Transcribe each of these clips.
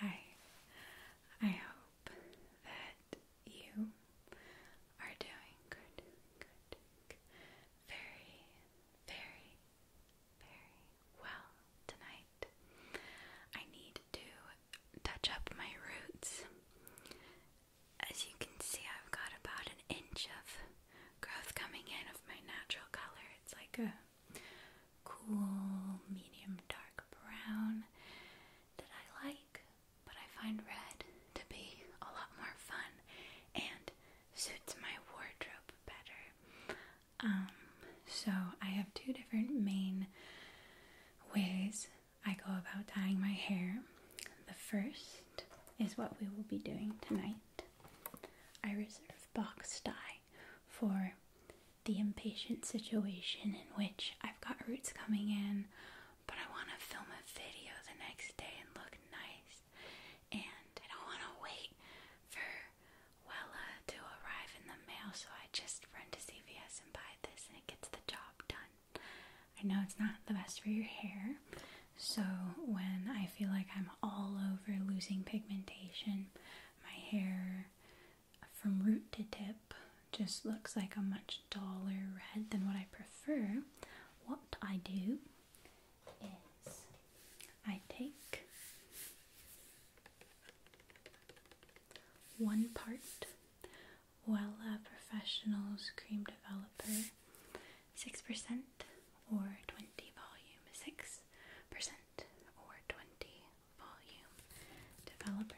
Hi, I hope that you are doing good, good, very, very, very well tonight. I need to touch up my roots. As you can see, I've got about an inch of growth coming in of my natural color. It's like a cool, medium dark brown that I like, but I find red to be a lot more fun and suits my wardrobe better. Um, so I have two different main ways I go about dyeing my hair. The first is what we will be doing tonight. I reserve box dye for the impatient situation in which I've got roots coming in, but I want to film a video the next day and look nice, and I don't want to wait for Wella to arrive in the mail, so I just run to CVS and buy this, and it gets the job done. I know it's not the best for your hair, so when I feel like I'm all over losing pigmentation, my hair from root to tip just looks like a much duller red than what I prefer, what I do is I take one part Wella Professionals Cream Developer 6% or 20 Volume 6 or 20 volume developer.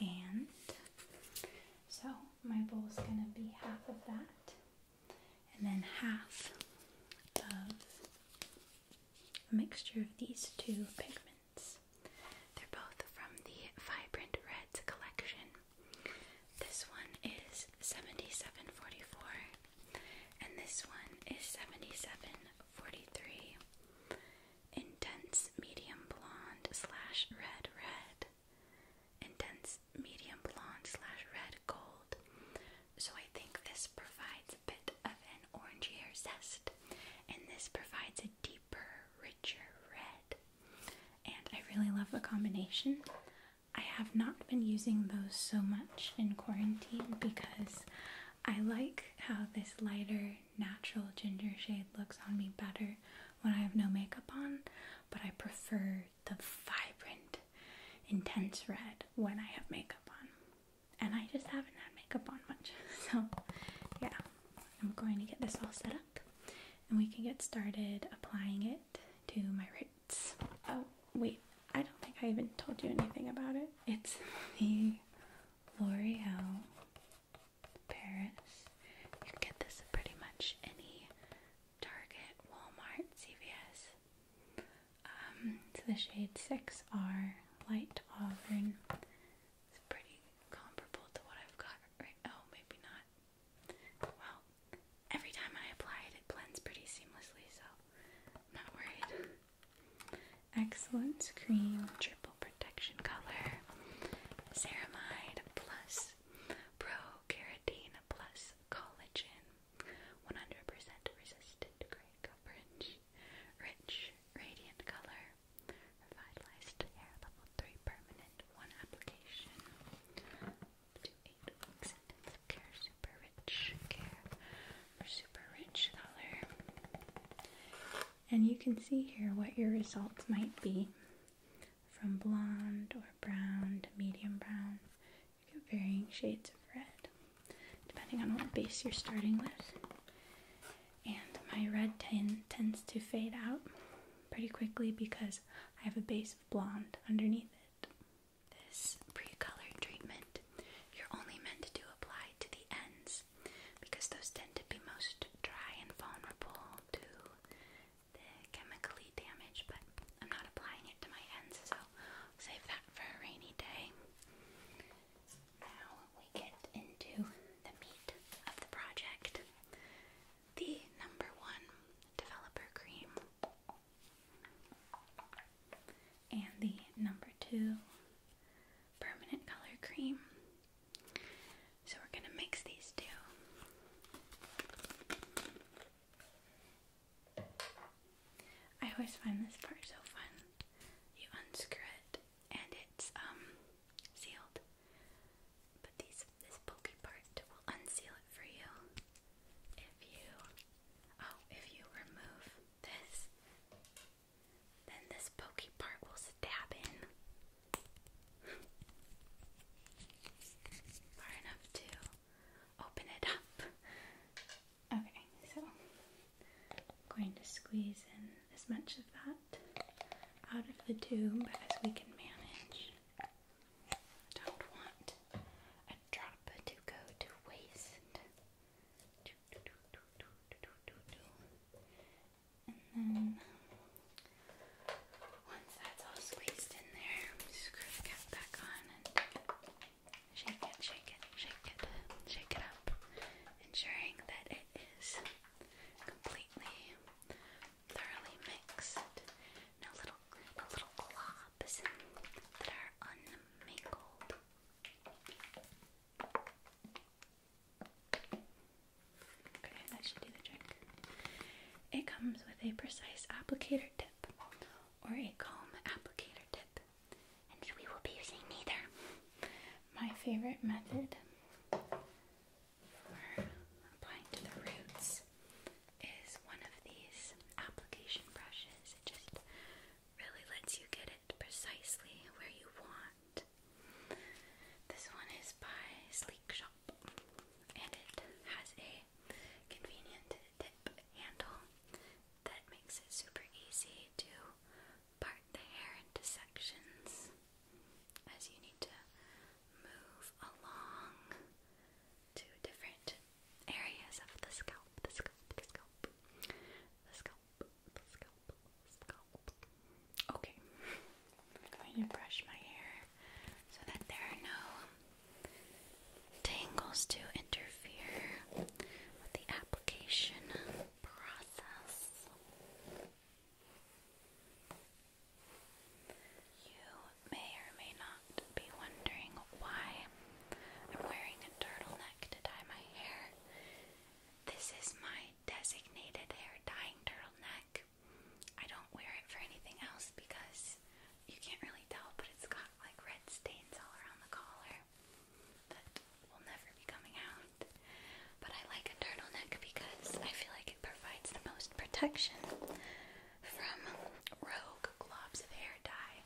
And so my bowl is going to be half of that, and then half of a mixture of these two pigments. They're both from the Vibrant Reds collection. This one is is 7744 and this one is 7743. Intense medium blonde slash red red. Intense medium blonde slash red gold. So I think this provides a bit of an hair zest, and this provides a deeper, richer red. And I really love the combination. I have not been using those so much in quarantine because I like how this lighter natural ginger shade looks on me better when I have no makeup on, but I prefer the vibrant, intense red when I have makeup on. And I just haven't had makeup on much. So, yeah, I'm going to get this all set up and we can get started applying it to my rates. Oh, wait, I don't think I even told you anything about it. It's the L'Oreal Paris. You get this pretty much any Target, Walmart, CVS. Um, so the shade 6R Light Auburn. It's pretty comparable to what I've got right oh, maybe not. Well, every time I apply it, it blends pretty seamlessly, so i not worried. Excellence Cream Triple Protection Color, Ceramide Plus, Pro Keratin Plus Collagen, 100 resistant gray coverage, rich, radiant color, revitalized hair level 3 permanent, one application to eight care, super rich care, or super rich color. And you can see here what your results might be from blonde or brown to medium brown. You get varying shades of red depending on what base you're starting with. And my red tin tends to fade out pretty quickly because I have a base of blonde underneath it. This pre-colored treatment you're only meant to apply to the ends because those tend to be most dry and vulnerable to the chemically damaged, but I'm not applying it to my ends, so save that for a rainy day. Now we get into the meat of the project. The number one developer cream and the number two permanent color cream. So we're going to mix these two. I always find this part so fun. You unscrew it and it's um sealed. But these this pokey part will unseal it for you if you oh if you remove this then this pokey part will stab in far enough to open it up. Okay, so I'm going to squeeze in as much of that out of the tube as we can manage don't want a drop to go to waste. And then once that's all squeezed in there, screw the cap back on and shake it, shake it, shake it, shake it up, ensuring that it is completely thoroughly mixed. No little, no little claw that are unmingled. Okay, that should do the trick. It comes with a precise applicator tip or a comb applicator tip, and we will be using neither. My favorite method for applying to the roots is one of these application brushes. It just really lets you get it precisely where you want. This one is by Sleek Shop and it has a convenient tip handle that makes it super easy to part the hair into sections as you need to move along to different areas of the scalp, the scalp, the scalp, the scalp, the scalp, the scalp. Okay, I'm going to brush my hair so that there are no tangles to interfere with the application process. You may or may not be wondering why I'm wearing a turtleneck to dye my hair. This is my designated hair dyeing turtleneck. I don't wear it for anything else because you can't really tell, but it's got like red stains all around the collar that will never be coming out. But I like a turtleneck because I feel like it provides the most protection from Rogue Globs of Hair Dye,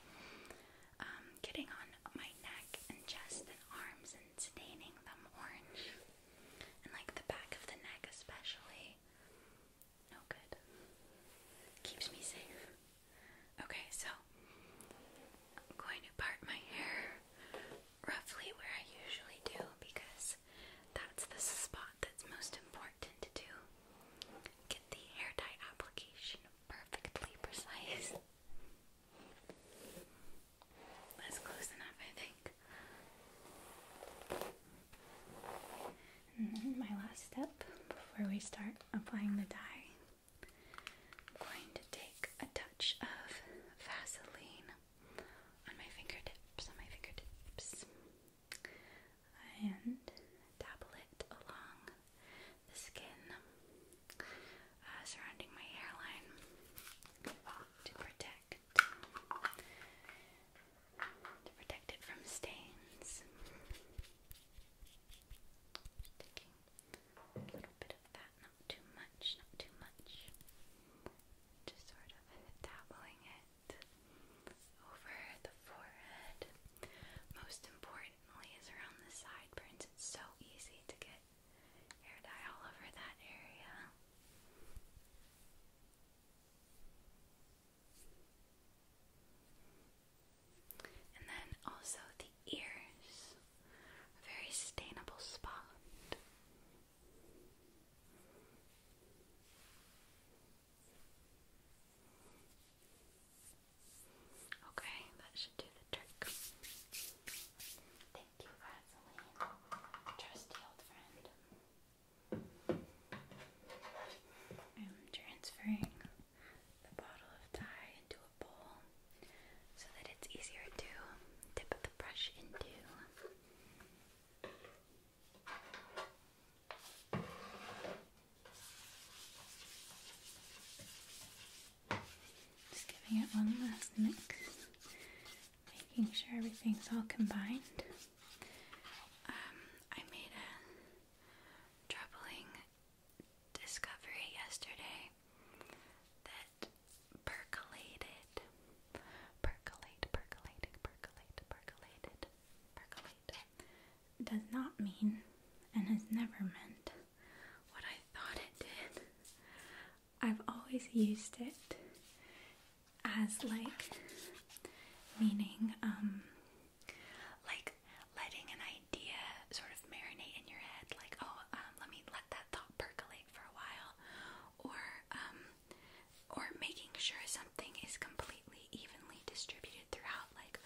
um, getting on my neck and chest and arms and staining them orange. And like the back of the neck, especially. No good. Keeps me safe. Okay, so I'm going to part my hair roughly where I usually do because that's the spot thought that's most important to do. Get the hair dye application perfectly precise. That's close enough, I think. And then my last step before we start applying the dye, I'm going to take a touch of Vaseline on my fingertips, on my fingertips and dabble it along the skin uh, surrounding my hairline to protect to protect it from stains. Just taking a little bit of that, not too much, not too much. Just sort of dabbling it over the forehead. Most importantly is around the sideburns. It's so easy to get hair dye all over that area. And then also the ears. A very sustainable spot. Okay, that should do the trick. Thank you, Vaseline, trusty old friend. I'm transferring the bottle of dye into a bowl so that it's easier to dip the brush into. Just giving it one last mix, making sure everything's all combined. Um, I made a troubling discovery yesterday that percolated, percolated, percolated, percolated, percolated percolate does not mean and has never meant what I thought it did. I've always used it as like meaning um like letting an idea sort of marinate in your head like oh um, let me let that thought percolate for a while or um or making sure something is completely evenly distributed throughout, like,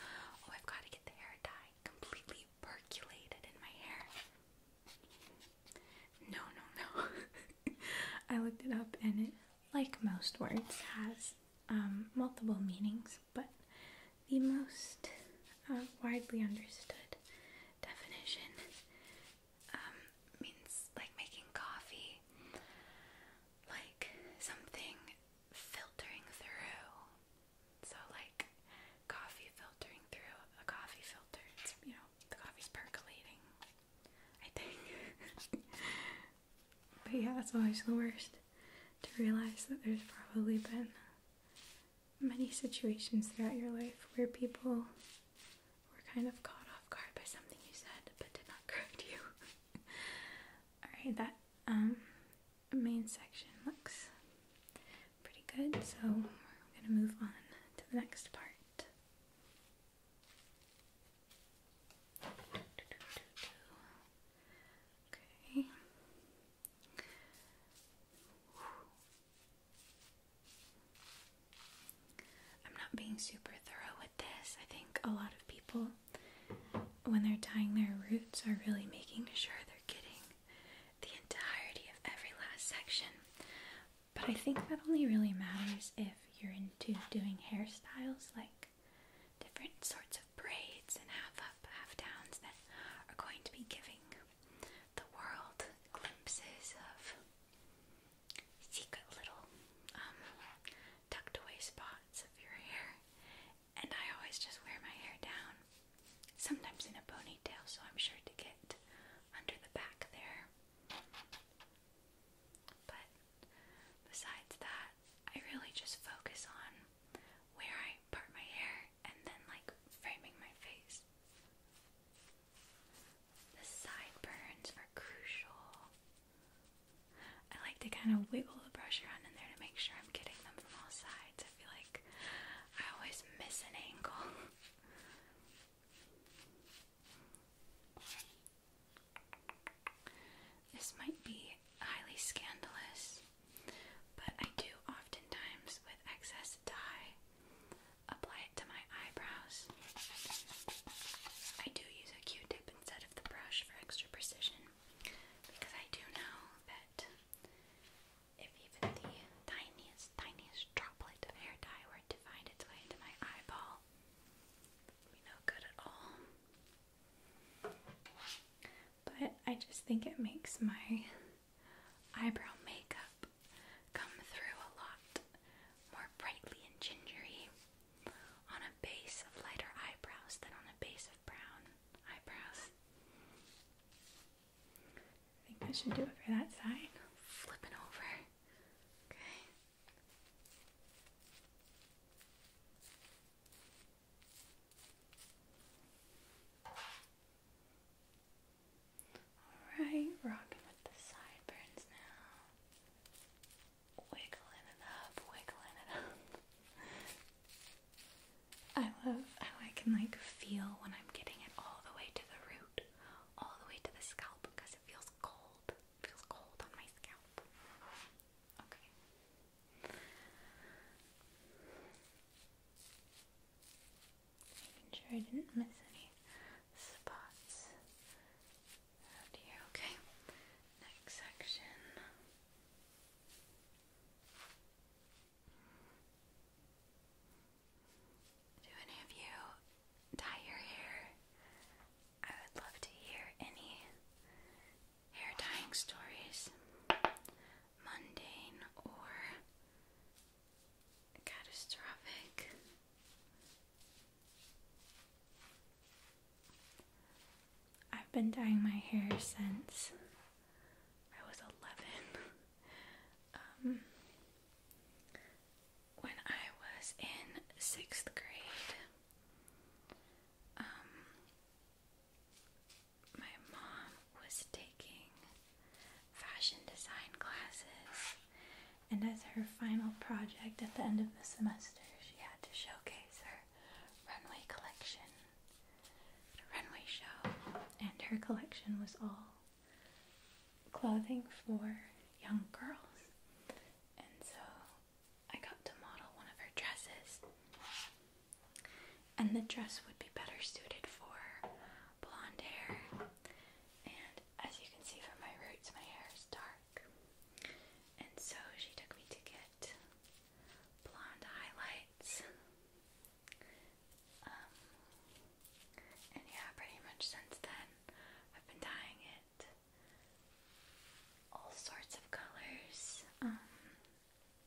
oh, I've got to get the hair dye completely percolated in my hair. No, no, no. I looked it up and it, like most words, has um, multiple meanings, but the most uh, widely understood definition um, means like making coffee like something filtering through. So, like coffee filtering through a coffee filter. It's, you know, the coffee's percolating, I think. but yeah, that's always the worst to realize that there's probably been many situations throughout your life where people were kind of caught off guard by something you said but did not correct you. Alright, that um, main section looks pretty good, so we're going to move on to the next part. Okay. I'm not being super thorough with this. I think a lot of people when they're tying their roots are really making sure they're getting the entirety of every last section. But I think that only really matters if you're into doing hairstyles like different sorts of braids and half up, half downs that are going to be giving the world glimpses of secret little um, tucked away spots of your hair. And I always just wear my hair down, sometimes in a ponytail, so I'm sure to get under the back there. But besides that, I really just focus on where I part my hair and then like framing my face. The sideburns are crucial. I like to kind of wiggle the brush around in there to make sure I'm getting them from all sides. I feel like I always miss an angle. This might be highly scandalous, but I do oftentimes with excess dye apply it to my eyebrows. I do use a q tip instead of the brush for extra precision because I do know that if even the tiniest, tiniest droplet of hair dye were to find its way into my eyeball, no good at all. But I just think it makes my eyebrow makeup come through a lot more brightly and gingery on a base of lighter eyebrows than on a base of brown eyebrows. I think I should do it for that side. Flipping over. Okay. Alright, rocking with the sideburns now. Wiggling it up, wiggling it up. I love how I can like feel when I'm getting it all the way to the root, all the way to the scalp because it feels cold. feels cold on my scalp. Okay. Making sure I didn't miss any spots around here. Okay, next section. Do any of you dye your hair? I would love to hear any hair dyeing stories, mundane or catastrophic. I've been dyeing my hair since I was 11. Um, when I was in sixth grade, um, my mom was taking fashion design classes, and as her final project at the end of the semester, she had to showcase her runway collection runway show, and her collection was all clothing for young girls. And so I got to model one of her dresses, and the dress would be better suited for blonde hair. And as you can see from my roots, my hair is dark. And so she took me to get blonde highlights. Um, and yeah, pretty much since then, I've been dyeing it all sorts of colors. Um,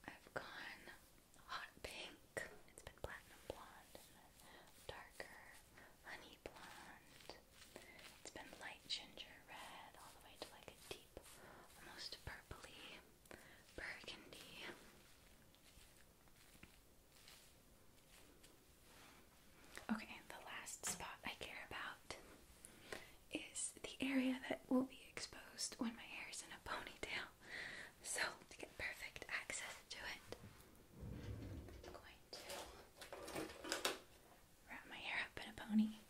I've gone hot pink, it's been platinum blonde, darker honey it's been light ginger red all the way to like a deep, almost purpley burgundy. Okay, the last spot I care about is the area that will be exposed when my hair is in a ponytail. So, to get perfect access to it, I'm going to wrap my hair up in a pony.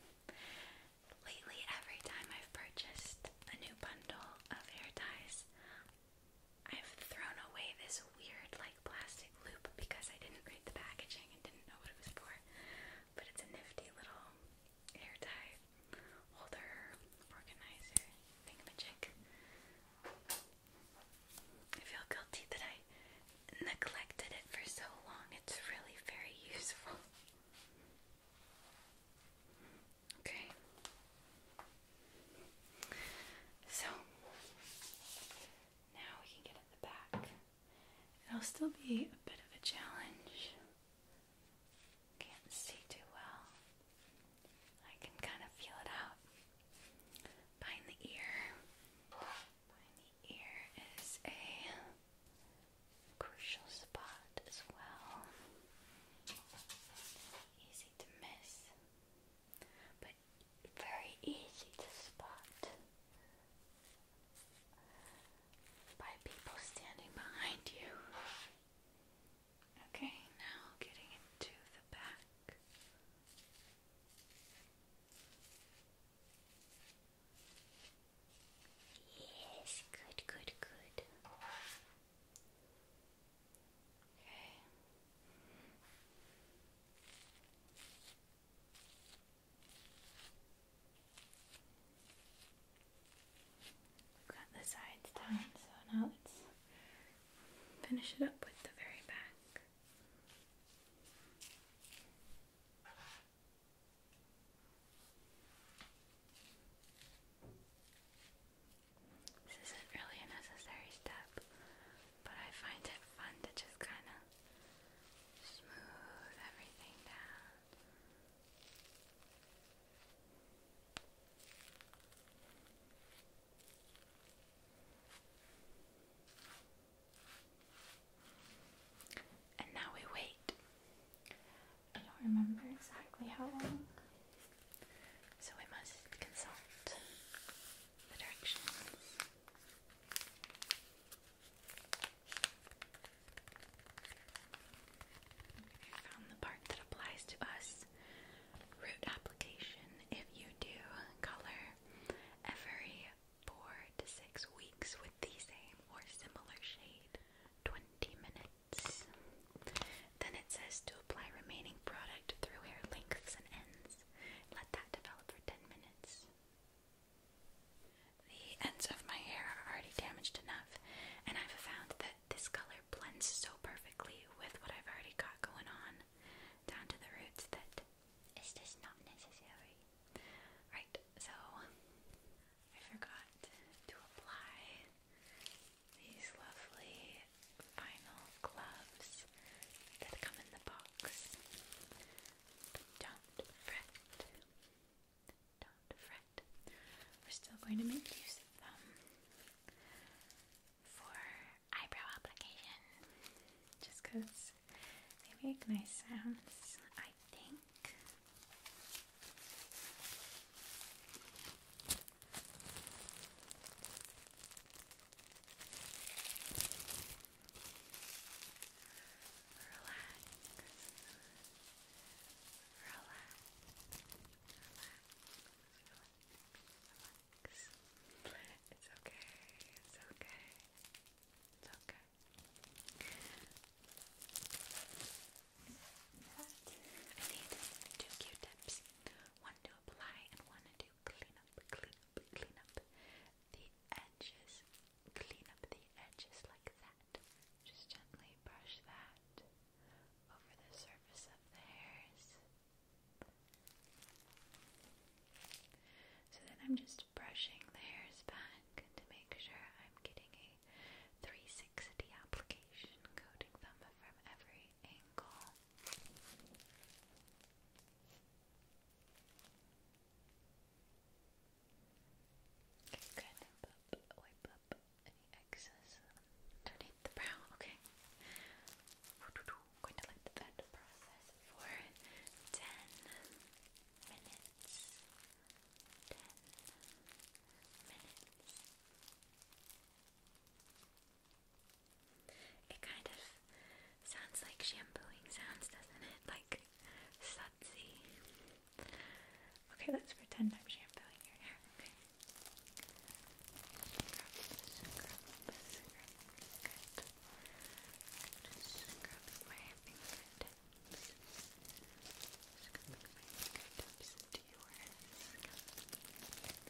Lately, every time I've purchased a new bundle of hair ties, I've thrown away this weird, like, plastic loop because I didn't read the packaging and didn't know what it was for. But it's a nifty little hair tie holder, organizer, thingamajig. I feel guilty that I neglected it for so long. It's really very useful. Okay. So now we can get at the back. It'll still be a bit of a challenge. Can't see too well. I can kind of feel it out. Behind the ear the ear is a crucial spot as well. Easy to miss, but very easy to spot by people standing behind you. Okay, now getting into the back. Yes, good, good, good. Okay. We've got the sides done, so now let's finish it up with the very back. This isn't really a necessary step, but I find it fun to just kind of smooth everything down. And now we wait. I don't remember exactly how long, so we must consult the directions. I found the part that applies to us. Root application. If you do color every four to six weeks with the same or similar shade, 20 minutes. Then it says to apply remaining product through hair lengths and ends. Let that develop for 10 minutes. The ends of my hair are already damaged enough, and I've found that this color blends so perfectly with what I've already got going on down to the roots that it's just not necessary. Right, so I forgot to apply these lovely vinyl gloves that come in the box. don't fret. Don't fret. We're still going to make use of them for eyebrow application just because they make nice sounds, I think. Relax. Relax. Relax. Relax. Relax. It's okay, it's okay, it's okay. I need two Q-tips, one to apply and one to clean up, clean up, the edges, clean up the edges like that. Just gently brush that over the surface of the hairs. So then I'm just brushing the hairs back to make sure I'm getting a 360 application, coating them from every angle. wipe up any excess underneath the brow. Okay going to let that process for 10 minutes. 10 minutes. It kind of sounds like shampooing sounds, doesn't it? Like sudsy. Okay, let's pretend I'm shampooing your hair. Good. Just scrubbing my fingertips. Scrubbing my fingertips into your scalp. Good.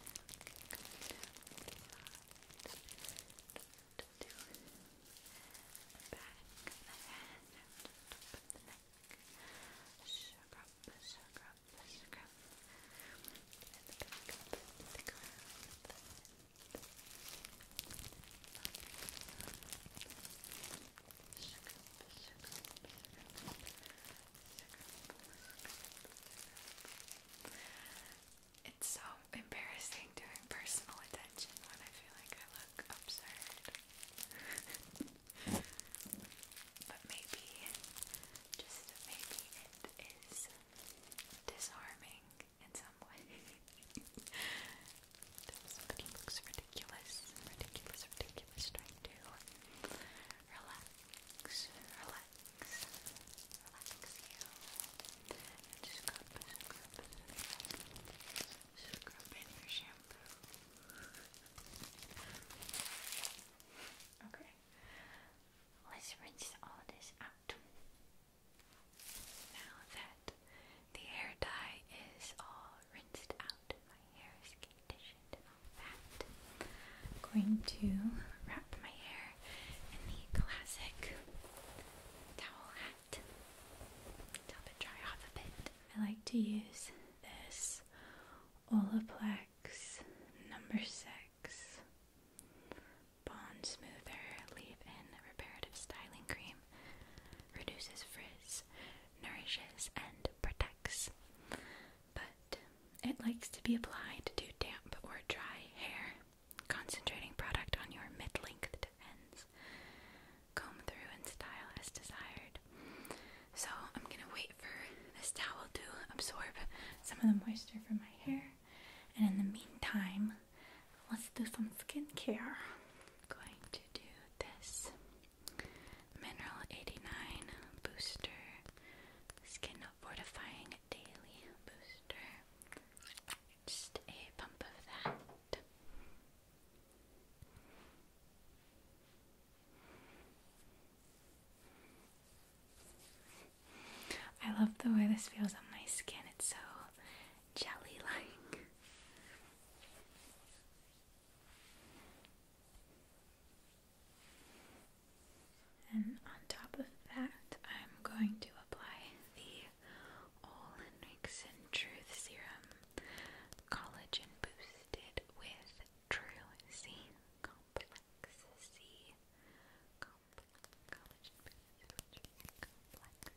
Do back of the head, top of the neck. Scrub, scrub, scrub. And the back of the, the crown, the it's so embarrassing doing personal attention when I feel like I look absurd. but maybe, just maybe it is disarming in some way. but looks ridiculous, ridiculous, ridiculous trying to relax, relax, relax Okay, let's rinse all this out. Now that the hair dye is all rinsed out, my hair is conditioned and all that, I'm going to wrap my hair in the classic towel hat to help it dry off a bit. I like to use this Olaplex number six. Bond Smoother Leave In Reparative Styling Cream reduces frizz, nourishes, and protects. But it likes to be applied to damp or dry hair. Concentrating product on your mid length ends. Comb through and style as desired. So I'm gonna wait for this towel to absorb some of the moisture from my hair and in the meantime, let's do some skincare. going to do this Mineral 89 Booster Skin Fortifying Daily Booster. Just a pump of that. I love the way this feels on my skin. It's so jelly like. And on top of that, I'm going to apply the Olin Truth Serum Collagen Boosted with True Complex C collagen pieces which are complex.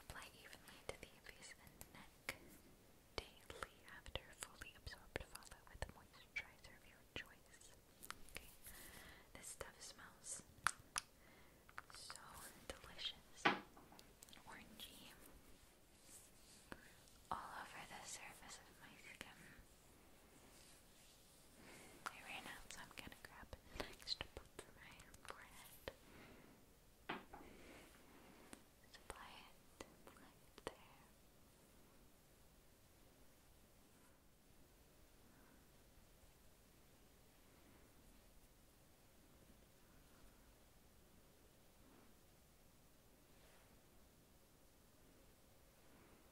Apply evenly to the face and neck daily after fully absorbed. Follow with a moisturizer of your choice. Okay, this stuff smells so delicious, orangey, all over the surface of my skin. I ran so I'm gonna grab extra pump for my forehead. Just apply it right there.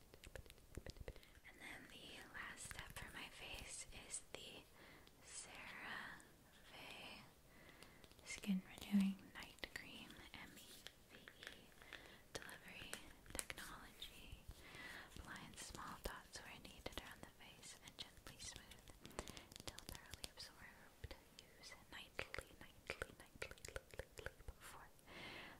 And then the last step for my face is the CeraVe Skin Renewing Night Cream MEVE Delivery Technology. Blind small dots where needed around the face and gently smooth until thoroughly absorbed. Use nightly, nightly, nightly, nightly before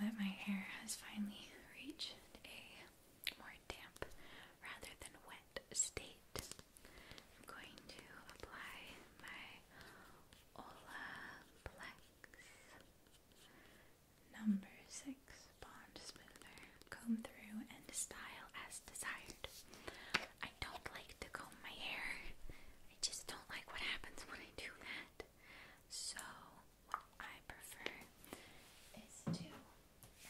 Now that my hair has finally reached a more damp rather than wet state. I'm going to apply my Olaplex number 6 Bond Smoother. Comb through and style as desired. I don't like to comb my hair. I just don't like what happens when I do that. So I prefer is to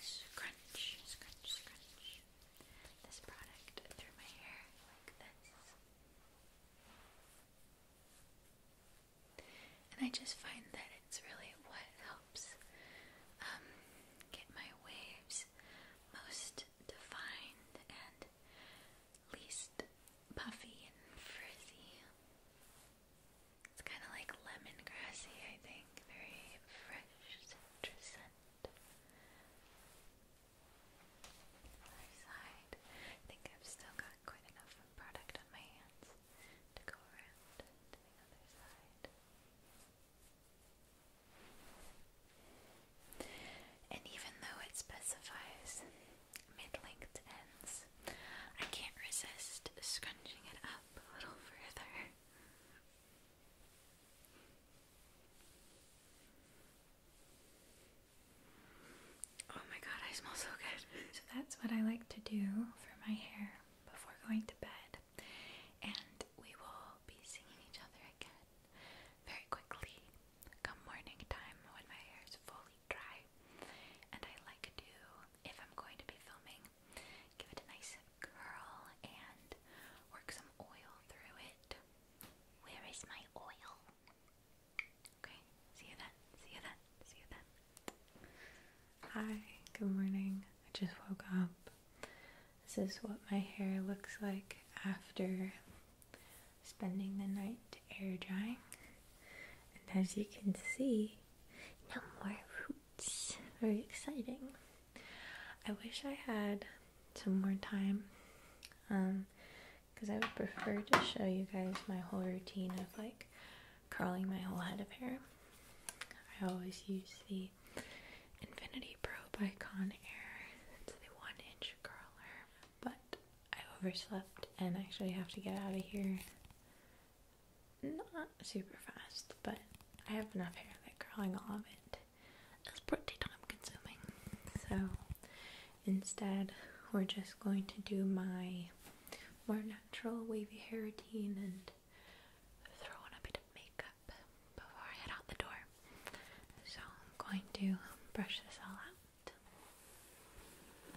scrunch, scrunch, scrunch this product through my hair like this. And I just find that it's really what helps um, get my waves most defined and least puffy and frizzy. It's kind of like lemon grassy, I think. Very fresh citrus Other side. I think I've still got quite enough product on my hands to go around to the other side. And even though it specifies mid-length ends. I can't resist scrunching it up a little further. Oh my god, I smell so good. So that's what I like to do for my hair before going to bed. And we will be seeing each other again very quickly come morning time when my hair is fully dry. And I like to, if I'm going to be filming, give it a nice curl and work some oil through it. Where is my oil? Okay, see you then, see you then, see you then. Hi, good morning. I just woke up. This is what my hair looks like after spending the night air drying. And as you can see, no more roots. Very exciting. I wish I had some more time. Um, because I would prefer to show you guys my whole routine of like curling my whole head of hair. I always use the Infinity Pro by Conair. It's the one inch curler. But I overslept and actually have to get out of here not super fast, but I have enough hair that curling all of it is pretty time consuming. So instead, we're just going to do my more natural wavy hair routine and throw on a bit of makeup before I head out the door. So I'm going to brush this all out.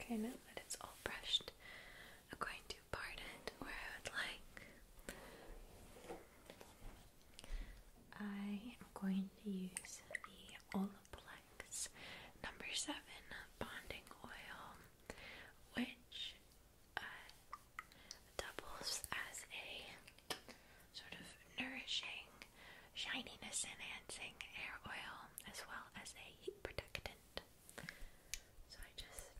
Okay, now that it's all brushed, I'm going to part it where I would like. I am going to use the Olaplex number seven bonding oil, which uh, doubles as a sort of nourishing, shininess enhancing hair oil as well as a heat protectant. So I just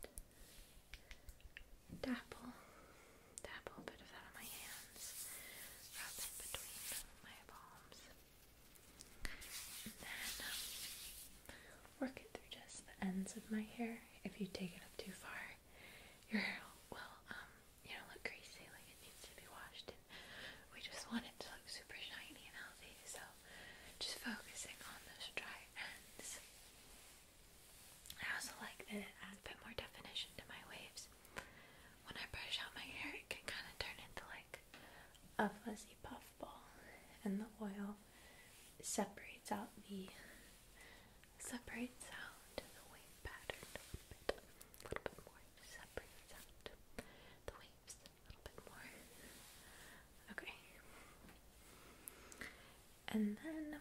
dabble, dabble a bit of that on my hands, rub it between my palms, and then um, work it through just the ends of my hair. If you take it up too far, your hair will, um, you know, look greasy, like it needs to be washed, we just want it to look super shiny and healthy, so just focusing on those dry ends. I also like that it adds a bit more definition to my waves. When I brush out my hair, it can kind of turn into like a fuzzy puffball, and the oil separates out the Separate out the wave pattern a little bit, more. Separates out the waves a little bit more. Okay. And then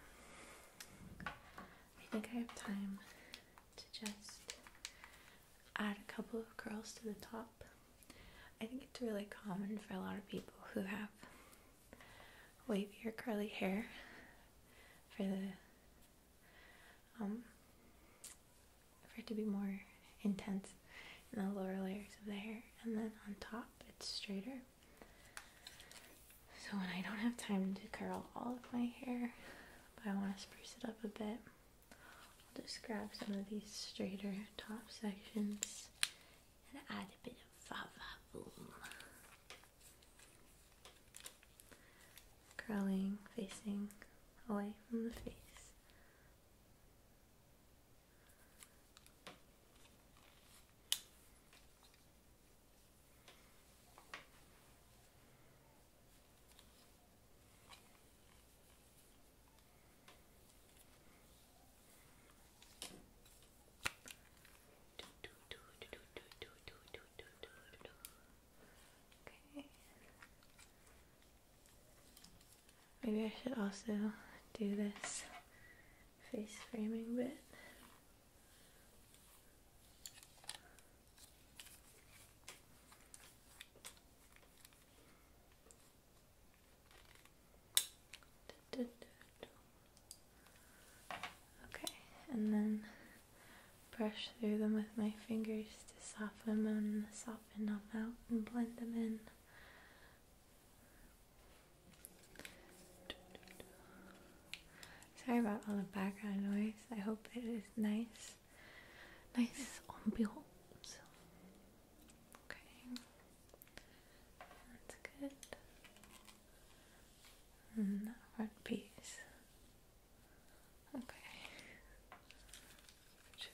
I think I have time to just add a couple of curls to the top. I think it's really common for a lot of people who have wavy or curly hair for the um for it to be more intense in the lower layers of the hair and then on top it's straighter so when I don't have time to curl all of my hair but I want to spruce it up a bit I'll just grab some of these straighter top sections and add a bit of va-va-boom curling facing away from the face. Maybe I should also do this face framing bit. Okay, and then brush through them with my fingers to soften them, and soften them out, and blend them in. Sorry about all the background noise. I hope it is nice, nice ambiance. Okay, that's good one mm-hmm. piece. Okay. Choo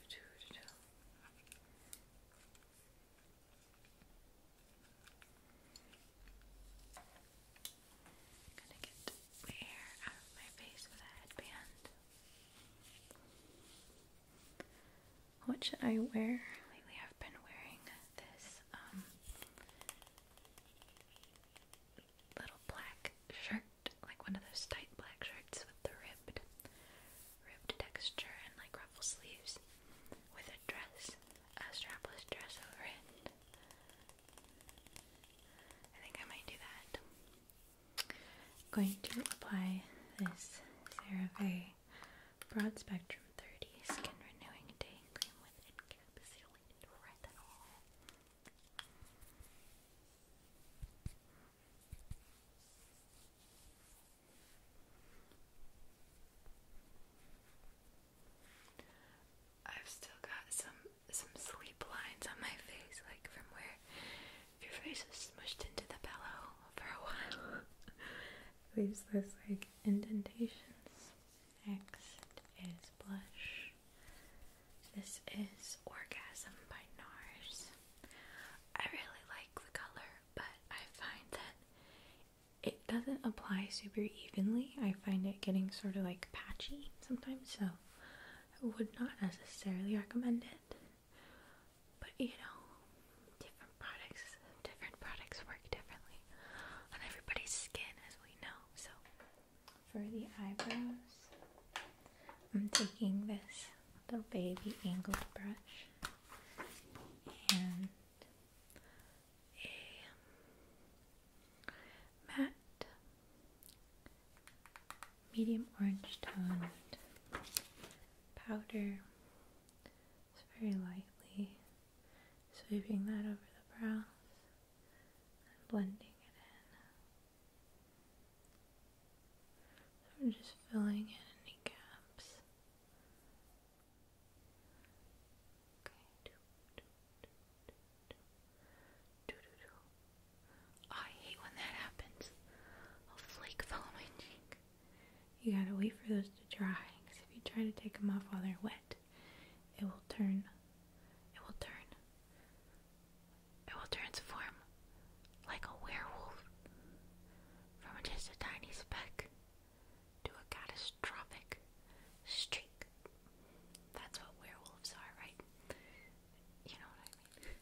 Gonna get my hair out of my face with a headband. What should I wear? Lately I've been wearing this um, little black shirt, like one of those tight black shirts with the ribbed, ribbed texture and like ruffle sleeves, with a dress, a strapless dress over it. I think I might do that. am going to apply this CeraVe broad spectrum 30 skin renewing day cream with encapsulated retinol. I've still got some some sleep lines on my face, like from where your face was smushed into the pillow for a while. Leaves those like indentations. Next is Blush. This is Orgasm by NARS. I really like the color, but I find that it doesn't apply super evenly. I find it getting sort of like patchy sometimes, so I would not necessarily recommend it. But you know, different products different products work differently on everybody's skin as we know so for the eyebrows I'm taking this little baby angled brush and a matte medium orange toned powder. It's very lightly sweeping that over the brows and blending it in. I'm just filling in any gaps. Okay. I hate when that happens. A flake fell on my cheek. You gotta wait for those to dry because if you try to take them off while they're wet, it will turn, it will turn, it will transform like a werewolf from just a tiny speck to a catastrophic streak. That's what werewolves are, right? You know what I mean?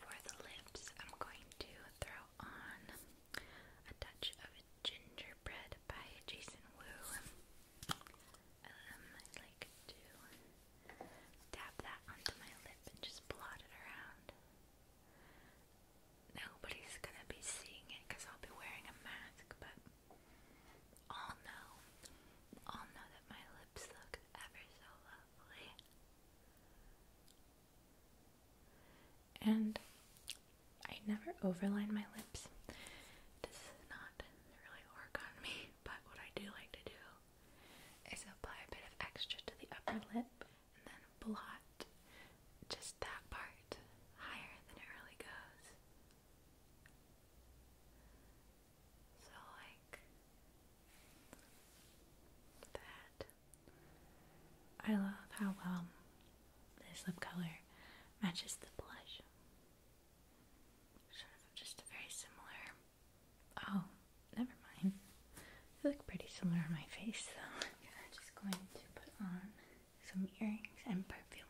For the lips, I'm going to throw on a touch of Gingerbread by Jason Wu. Um, I'd like to dab that onto my lip and just blot it around. Nobody's gonna be seeing it I'll be wearing a mask, but all know, all know that my lips look ever so lovely and I never overline my lips. This not really work on me, but what I do like to do is apply a bit of extra to the upper lip and then blot just that part higher than it really goes. So, like that. I love how well um, this lip color matches the blush. Sort of just very similar. Oh, never mind. They look pretty similar on my face, though. just going to put on some earrings and perfume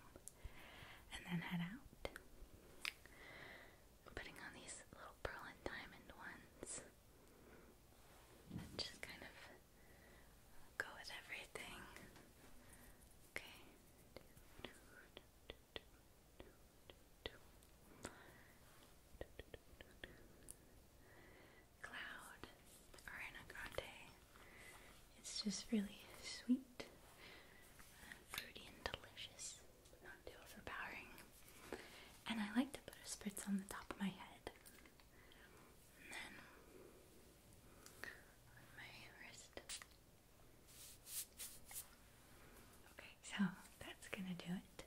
and then head out. putting on these little pearl and diamond ones just kind of Go with everything. Okay. Cloud, Ariana Grande. It's just really sweet, and fruity, and delicious, but not too overpowering. And I like to put a spritz on the top of my head. Okay, so that's gonna do it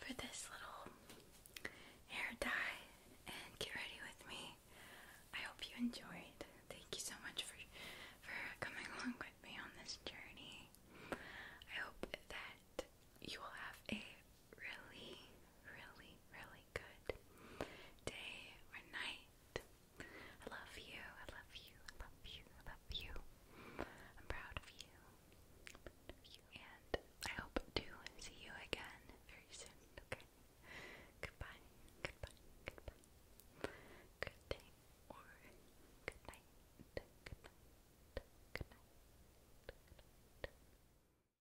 for this little hair dye and get ready with me. I hope you enjoyed. Thank you so much for for coming along with me on this journey. I hope that you will have a really, really, really good day or night. I love you, I love you, I love you, I love you. I'm proud of you. I'm proud of you. And I hope to see you again very soon, okay? Goodbye, goodbye, goodbye. Good day or good night. Good night. Good night. Good night.